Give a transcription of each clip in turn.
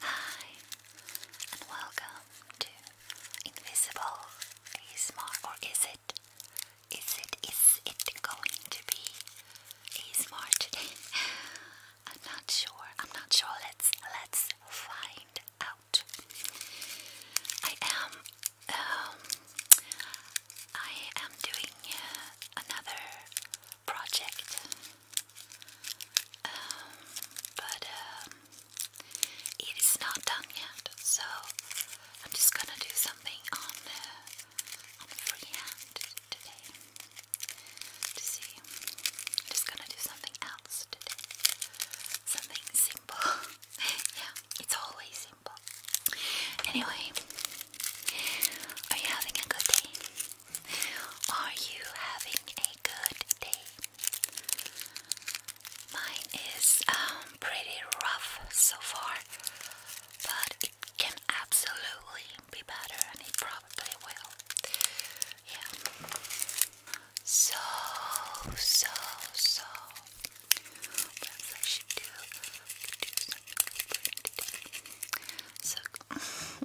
Hi, and welcome to Invisible ASMR, or is it? Is it, is it going to be ASMR today? I'm not sure, I'm not sure, let's, let's find out. I am, um, I am doing uh, another project. Um, but um, it is not done yet, so I'm just gonna do something on uh, on freehand today. To see, just gonna do something else today. Something simple. yeah, it's always simple. Anyway, are you having a good day? Are you having a good day? Mine is um, pretty rough so far, but it can absolutely be better and it probably will. Yeah. So, so, so. I should do, do something different today. So.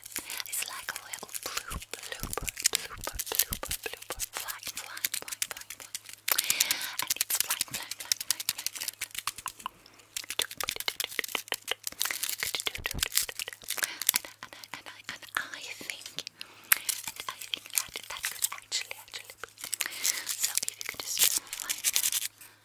It's like a little blue, blue bird, blue bird, blue bird, blue bird, flying, And it's flying, flying, flying, flying, flying, flying. And, and, and, I, and I think, and I think that that could actually, actually So if you could just find them.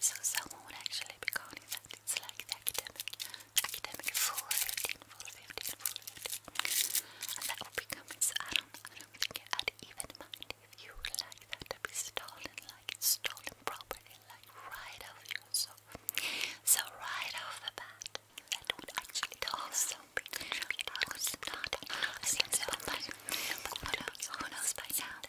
So, someone would actually be calling that. It's like the academic, academic full 15, full 15, full 15. And that would be coming. I don't, I don't even mind if you would like that to be stolen, like stolen property, like right off you. So, right off the bat, that would actually also be contributed. I was who knows by now?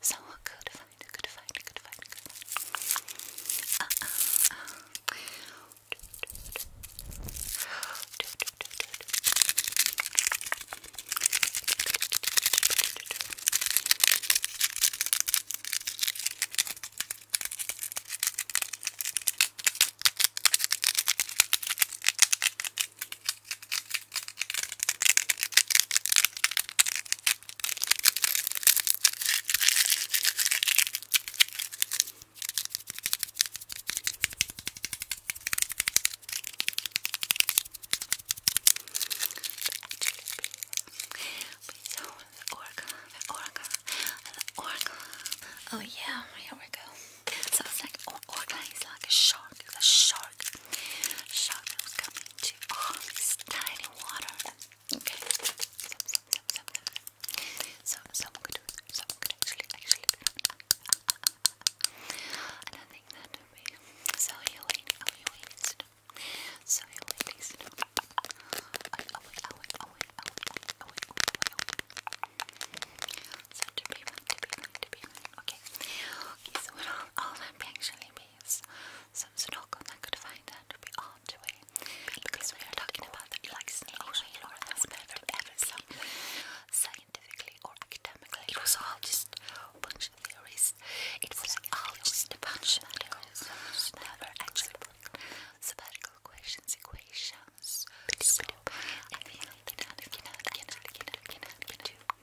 So good find, good find, good find, good find. Uh, uh, uh. So the orca, the orca, the orca. Oh yeah, here we go. So like or orca like a shark, it's a shark. Shock was coming to all oh, tiny water. Okay. So someone could do it. Someone could actually actually do it. And I think that would be so you wait, oh you wait, it's no. So you wait, it's no. Oh wait, oh wait, oh wait, oh wait, oh wait, oh wait, oh wait, oh wait. So to be one, to be one, to be one, Okay. so what all, all that actually means some snorkel that could find that would be on the way. Because we are talking about the likes in ocean or aspect of everything scientifically or academically. It was all just a bunch of theories. It was all just a bunch of theories. Never actually sabbatical questions, equations. So I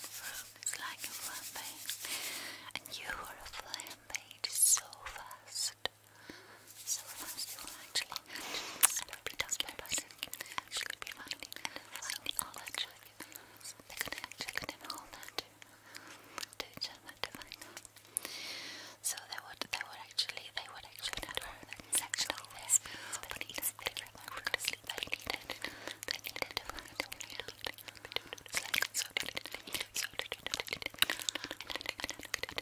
Room like a flame, and you are a flame made so fast. So once you actually be done by person, she could be finding, finding all that shit. They could actually all that to, to each other to find out. So they would, they would actually, they would actually not have that section of this, but even they like go to sleep, they needed, they needed to find out. It's like, so did it, so did it, and I did it, and I did it,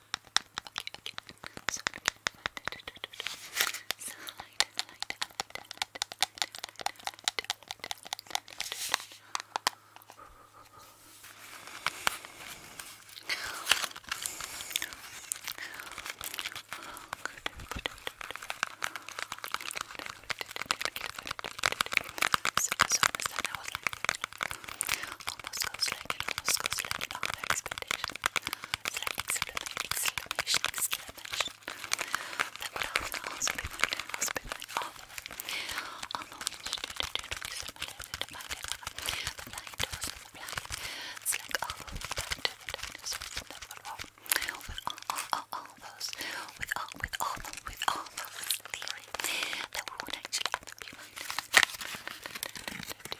So light, light, so, so, so, I was like, almost goes like it almost goes like an all expectation. It's like exclamation, exclamation, exclamation. That would often also be my name, also be my novel. Although, it's like all the way back to the dinosaurs and that would all, with all, all, all, all those, with all, with all, with all those theories, that would actually have to be my name.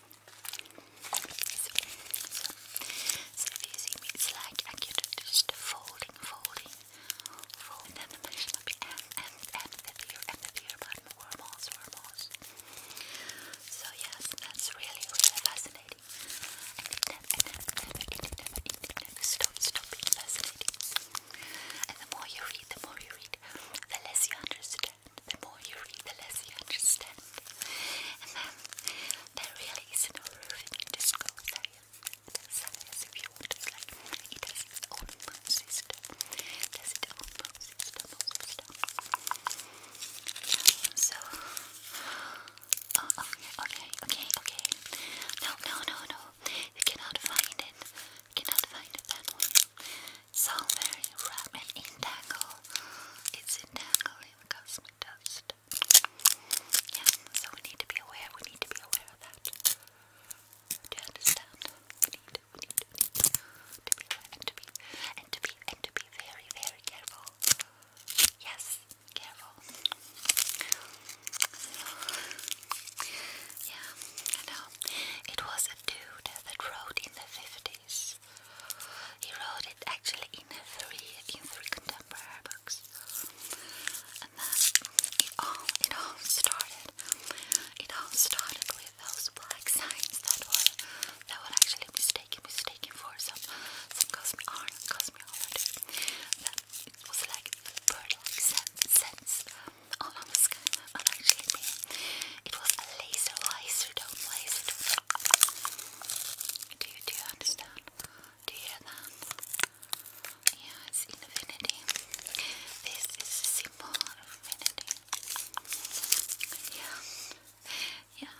So if see me, it's like I get just folding, folding, folding, and the motion of your and, and, and the beer, and the beer button, wormholes, wormholes. So yes, that's really, really fascinating. And it stop fascinating. And the more you read, the more you read, the less you understand the more you read, the less you understand. And then um, there really isn't a roof, you just go if you want. It's like it has its own moon system. It has its own moon system, So, oh, okay, okay, okay, okay. No, no, no, no. You cannot find it. You cannot find that one sound very rapid entangle. It's entangling the cosmic dust. Yeah, so we need to be aware, we need to be aware of that. Do you understand? we need to be aware and to be, and to be, and to be very, very careful. Yes, careful. Yeah, I know. It was a dude that wrote in the 50s. He wrote it actually in three in three contemporary books. And then it all it all started it all started with those black signs that were that were actually mistaken mistaken for some some cosmic art cosmology. That was like bird like sense, all on the sky well It was a laser laser dome laser Do you do you understand? Do you hear that? Yeah, it's infinity. This is a symbol of infinity. Yeah. Yeah.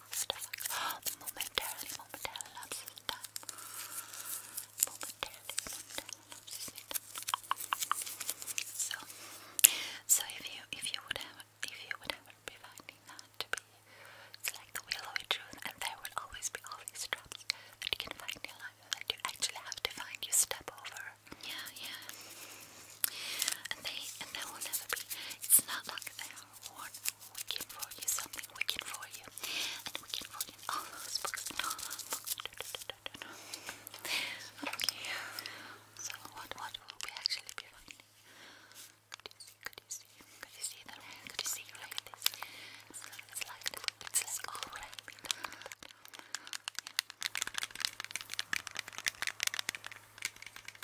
So, so if you if you would have if you would ever be finding that to be it's like the wheel of and there will always be all these traps that you can find in that you actually have to find. You step over. Yeah, yeah. And they and there will never be. It's not like that we can find you something, we can find you, and we can roll all those books, Okay, so what, what will we actually be finding? Could you see, could you see, could you see that? Could you see, look this, it's like, it's like,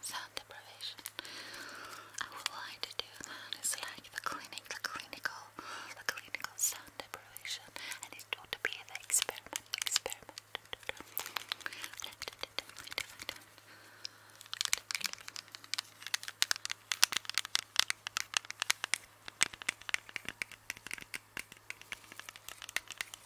sound deprivation. I would like to do that. It's like the clinic, the clinical, the clinical sound deprivation, and it would be the experiment, experiment.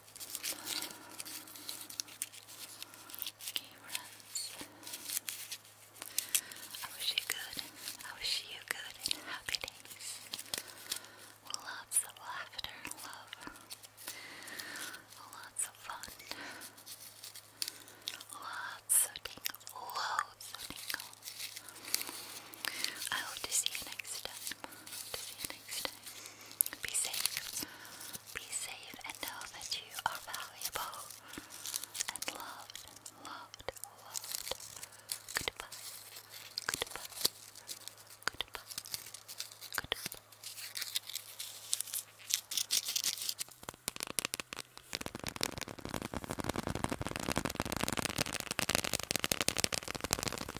Okay, I wish you good. I wish you good and happy days. Lots of laughter love. Lots of fun. Lots of tingles. Loads of tingles. I hope to see you next time. to see you next time. Be safe. Be safe and know that you are valuable and loved, loved, loved. Goodbye. Goodbye. Goodbye. Goodbye.